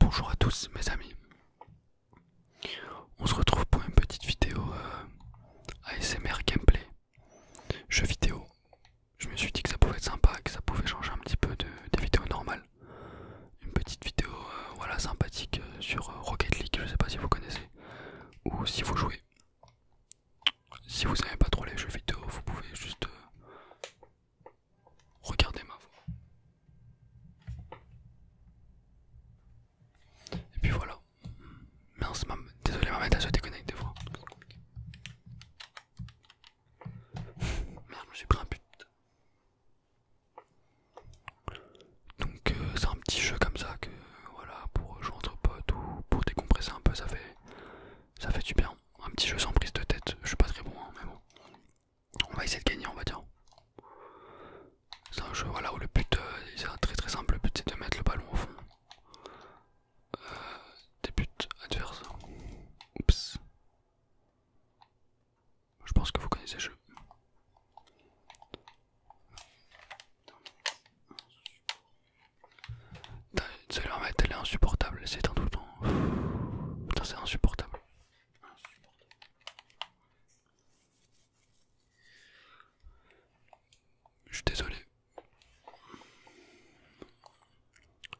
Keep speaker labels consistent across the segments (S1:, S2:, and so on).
S1: Bonjour à tous mes amis, on se retrouve pour une petite vidéo euh, ASMR gameplay, jeu vidéo. Je me suis dit que ça pouvait être sympa, que ça pouvait changer un petit peu de, des vidéos normales. Une petite vidéo euh, voilà sympathique euh, sur Rocket League, je sais pas si vous connaissez ou si vous jouez. Si vous n'aimez pas trop les jeux vidéo, vous pouvez juste Regardez ma voix. Et puis voilà. Mince, ma... désolé, ma mère, se déconnecte des fois. Merde, je me suis pris un but. Donc, euh, c'est un petit jeu comme ça que voilà pour jouer entre potes ou pour décompresser un peu, ça fait, ça fait du bien un petit jeu sans prise de tête. Je suis pas très bon, hein, mais bon. On va essayer de gagner, on va dire. C'est un jeu voilà, où le but, euh, c'est très très simple, le but c'est de mettre le ballon au fond. Euh, des buts adverses. Oups. Je pense que vous connaissez le jeu. Ça elle est insupportable, C'est un tout temps. c'est insupportable. Je suis désolé.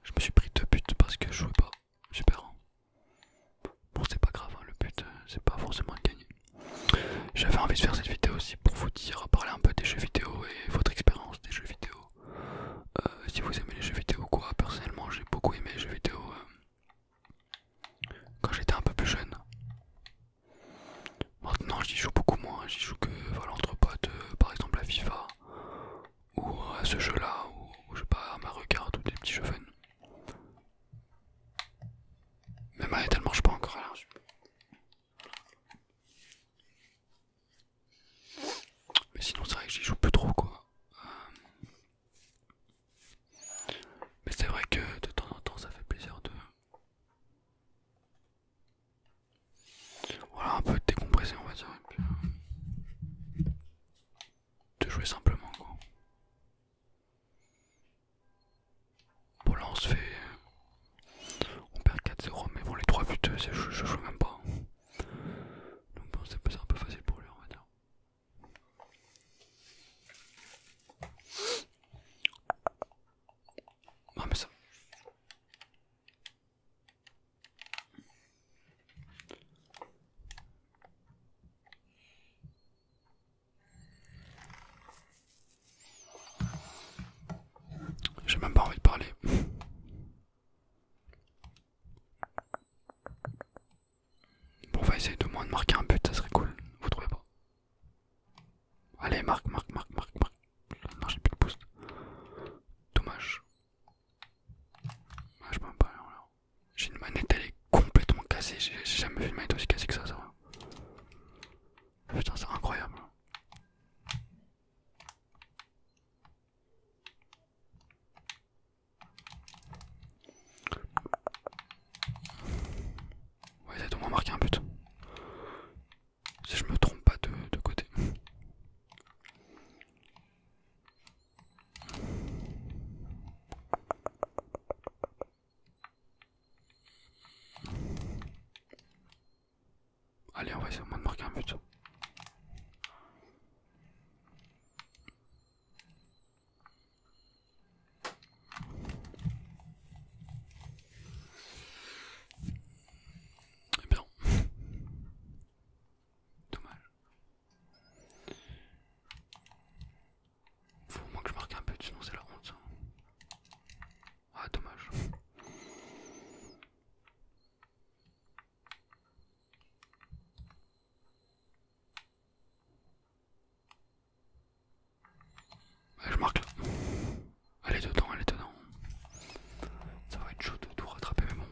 S1: Je me suis pris deux buts parce que je jouais pas. Super. Hein. Bon c'est pas grave, hein, le but euh, c'est pas forcément de gagner. J'avais envie de faire cette vidéo aussi pour vous dire, parler un peu des jeux vidéo et votre expérience des jeux vidéo. Euh, si vous aimez les jeux vidéo quoi. Personnellement j'ai beaucoup aimé les jeux vidéo euh, quand j'étais un peu plus jeune. Maintenant j'y joue beaucoup moins, j'y joue que voilà, entre euh, par exemple à FIFA ou à ce jeu là ou je sais pas à ma regarde ou des petits jeux fun. Même elle ne je pas encore mais sinon c'est vrai que j'y joue plus trop quoi. Euh, mais c'est vrai que de temps en temps ça fait plaisir de... Voilà un peu décompressé on va dire. Euh, de jouer simplement quoi. Bon là on se fait on perd 4-0, mais bon, les 3 buts, euh, je, je joue même pas. Donc bon, c'est un peu facile pour lui, on va dire. Non, ah, mais ça. J'ai même pas envie de parler. Bon, on va essayer de moins de marquer un but, ça serait cool. Vous trouvez pas Allez, marque, marque, marque, marque, marque. Non, j'ai plus de boost. Dommage. J'ai une manette, elle est complètement cassée. J'ai jamais vu une manette aussi cassée que ça, ça va. Putain, c'est incroyable. Ouais, ça doit marqué un but. Si je me trompe pas de côté. Allez, on va essayer au moins de marquer un but. Eh bien, dommage. Faut au moins que je marque un but, sinon c'est la honte. Ah, dommage. je marque là. Elle est dedans, elle est dedans. Ça va être chaud de tout rattraper, mais bon.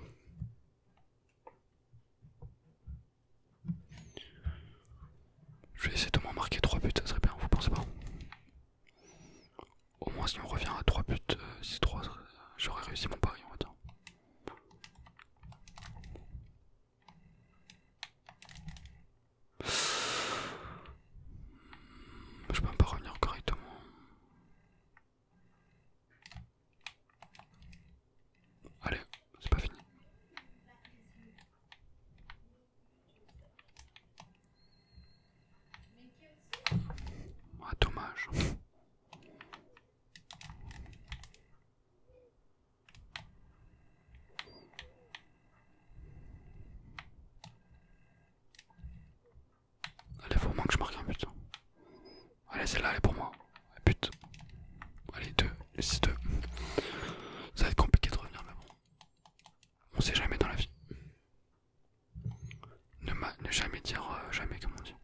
S1: Je vais essayer de m'en marquer 3 buts, ça serait bien, vous pensez pas au moins, si on revient à 3 buts, 3, euh, euh, j'aurais réussi mon pari, on va dire. Je peux même pas revenir correctement. Allez, c'est pas fini. Ah, dommage. Allez, faut moins que je marque un but. Hein. Allez, celle-là, elle est pour moi. But. Allez, deux. C'est deux. Ça va être compliqué de revenir là-bas. On sait jamais dans la vie. Ne, ne jamais dire euh, jamais, comme on dit.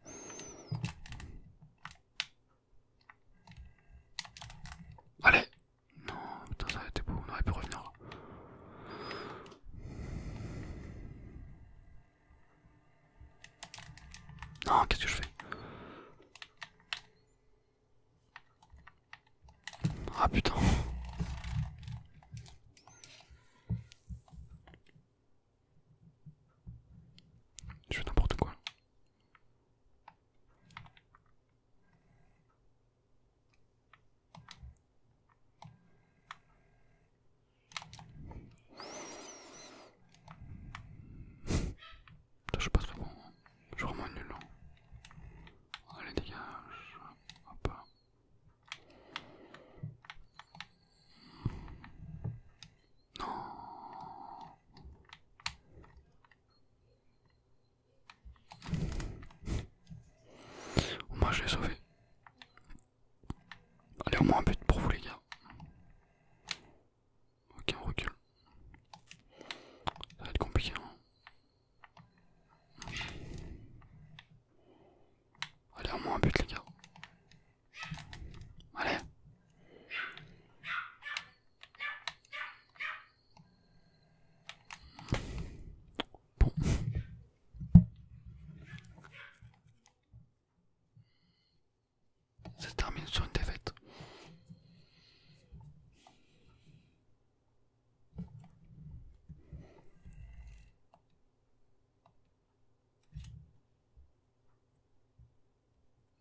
S1: Allez Non, putain, ça a été beau, on aurait pu revenir. Non, qu'est-ce que je fais ah putain. Je fais n'importe quoi. Je suis pas très bon, hein. je suis vraiment nul. Hein. Allez, dégage. Hop. Non. je l'ai sauvé. Allez au moins un but pour vous les gars. Ok on recule. Ça va être compliqué. Hein. Allez, au moins un but, les gars. Allez. Bon. Ça termine sur une défaite.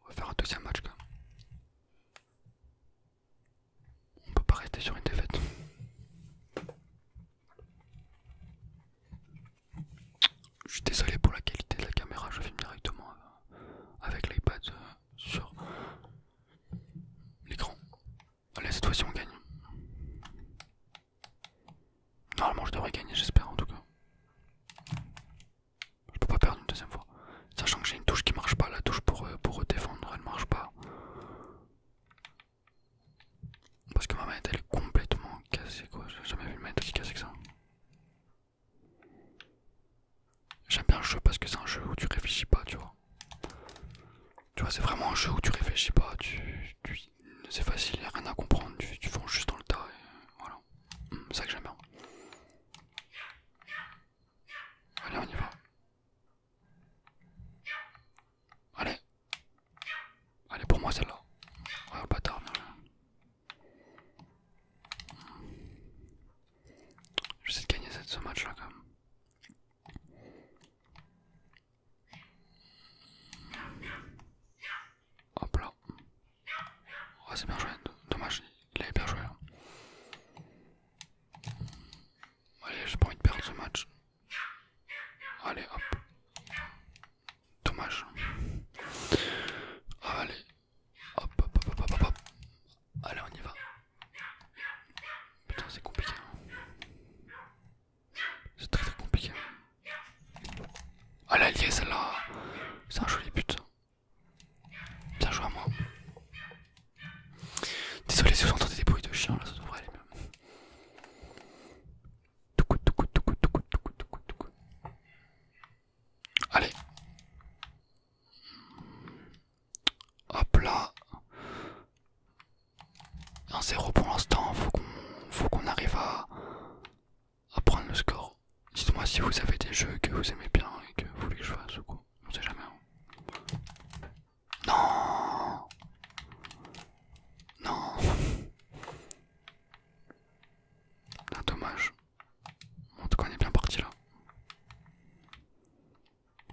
S1: On va faire un deuxième match quand même. On peut pas rester sur une défaite. Je suis désolé pour la qualité de la caméra, je filme directement euh, avec l'iPad euh, sur l'écran. Allez, cette fois-ci on gagne. Normalement je devrais gagner, j'espère en tout cas. Je peux pas perdre une deuxième fois. Sachant que j'ai une touche qui marche pas, la touche pour, euh, pour défendre elle marche pas. Parce que ma manette elle est complètement cassée quoi, j'ai jamais vu une manette aussi cassée que ça. J'aime bien le jeu parce que c'est un jeu où tu réfléchis pas, tu vois. Tu vois, c'est vraiment un jeu où tu réfléchis pas, tu, c'est facile, y a rien à comprendre, tu, fonces juste dans le tas et voilà. Mm, c'est ça que j'aime bien. Allez, on y va. Allez. Allez, pour moi celle-là. Ouais, le bâtard, vais J'essaie de gagner ce match là quand même. Hop là. Oh, c'est bien joué. Dommage, il avait bien joué. Hein. Allez, j'ai pas envie de perdre ce match. Allez, hop. Dommage. Allez. Hop, hop, hop, hop, hop, hop. Allez, on y va. Putain, c'est compliqué. Hein. C'est très très compliqué. Ah, la là C'est un joli but. Bien joué à moi. Désolé si vous entendez des bruits de chiens là, ça devrait aller mieux. Allez. Hop là. Un 0 pour l'instant, faut qu'on faut qu'on arrive à, à prendre le score. Dites-moi si vous avez des jeux que vous aimez bien et que vous voulez que je fasse ou quoi. On sait jamais. Hein. Non Non Dommage. En tout cas on est bien parti là.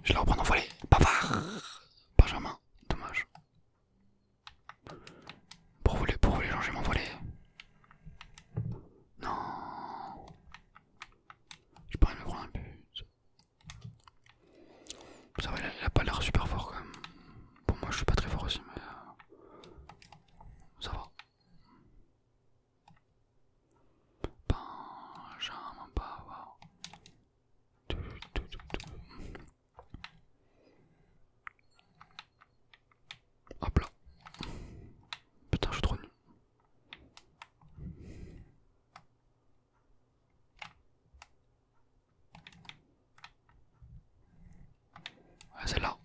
S1: Je la reprendre en volée. Bavard Benjamin, dommage. Pour voler, pour voler, j'ai mon volet. Non. J'ai pas envie de me prendre un but. Ça va, il a pas l'air super fort quand même. Bon, moi je suis pas très fort aussi, mais. Euh, ça va. Benjamin Bauer. pas du, Hop là. Putain, je suis trop nul. Ah celle-là.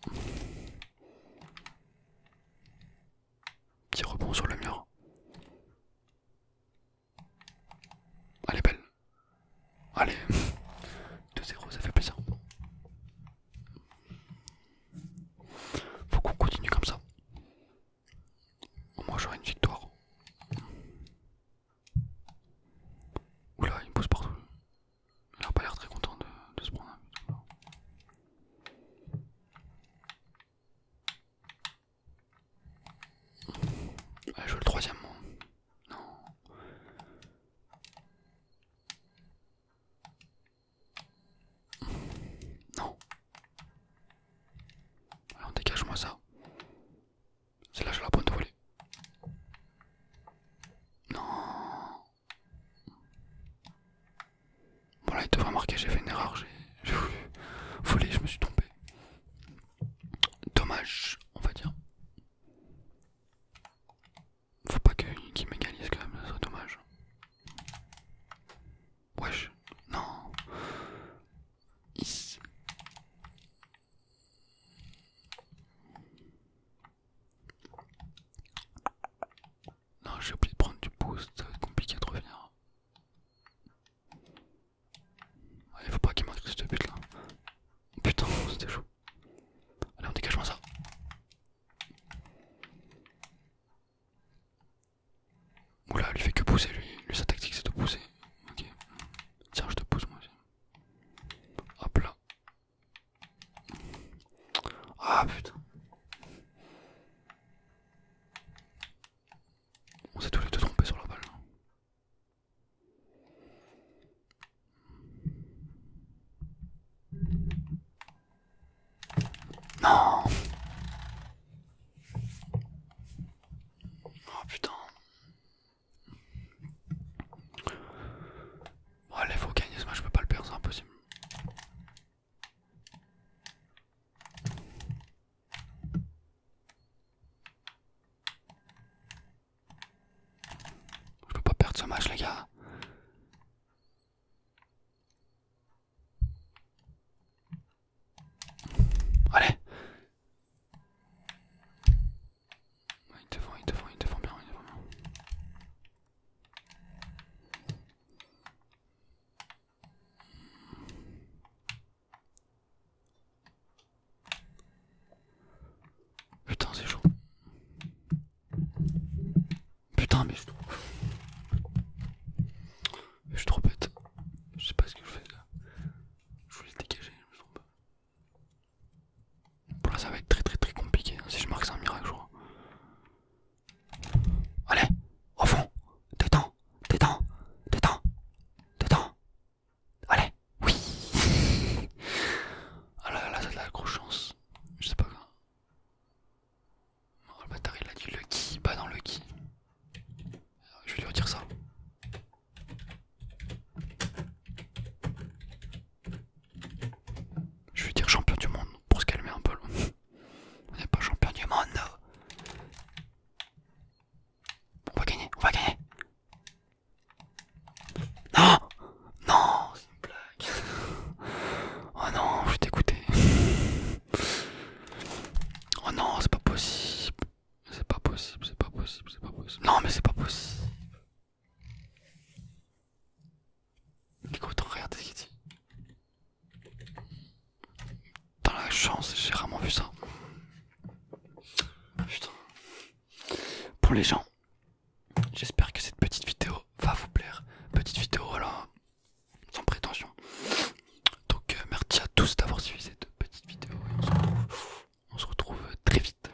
S1: Petit rebond sur le mur. Elle est belle. Allez, 2-0, ça fait plaisir. Faut qu'on continue comme ça. Au moins j'aurai une victoire. Oula, il me pousse partout. Il a pas l'air très content de, ce se prendre ah, je veux le troisième mot. Non. Non. Alors dégage-moi ça. c'est là je la prends de voler. Non. Bon là il devrait marquer, j'ai fait une erreur, j'ai voulu je me suis trompé. Dommage, on va dire. Faut pas qu'il m'égalise quand même, ça serait dommage. Wesh, non. Non, j'ai oublié de prendre du boost, ça va être compliqué de revenir. Il faut pas qu'il m'inscrive ce but là. Putain, c'était chaud. Allez, on dégage-moi ça. Oula, lui fait que pousser, lui. sa tactique c'est de pousser. Tiens, je te pousse moi aussi. Hop là. Ah putain. On s'est tous les deux trompés sur la balle. Non Oh putain Bon allez faut gagner ce match, je peux pas le perdre, c'est impossible. Je peux pas perdre ce match les gars. Allez Il te font, il te font, il te bien, Il te bien. Putain, c'est chaud. Putain, mais je suis trop. Je suis trop bête. Je sais pas ce que je fais là. Je voulais le dégager, je me Bon, là, ça va être très très très compliqué. Hein, si je marque, c'est un miracle, je crois. Allez, au fond, dedans, dedans, dedans, dedans. Allez, oui. Ah là là, ça de la grosse chance. Je sais pas. quoi. Oh, le bâtard, il a dit le qui, pas dans le qui. Je vais lui redire ça. Je vais dire champion du monde pour se calmer un peu. On n'est pas champion du monde. on va gagner, on va gagner. Non Non, c'est une blague. oh non, je suis écouté. oh non, c'est pas possible. C'est pas possible, c'est pas possible, c'est pas possible. Non, mais c'est pas possible. Écoute, regardez ce qu'il dit. Dans la chance, j'ai rarement vu ça. Putain. Pour les gens, j'espère que cette petite vidéo va vous plaire. Petite vidéo, voilà, sans prétention. Donc, euh, merci à tous d'avoir suivi cette petite vidéo. Et on se retrouve très vite.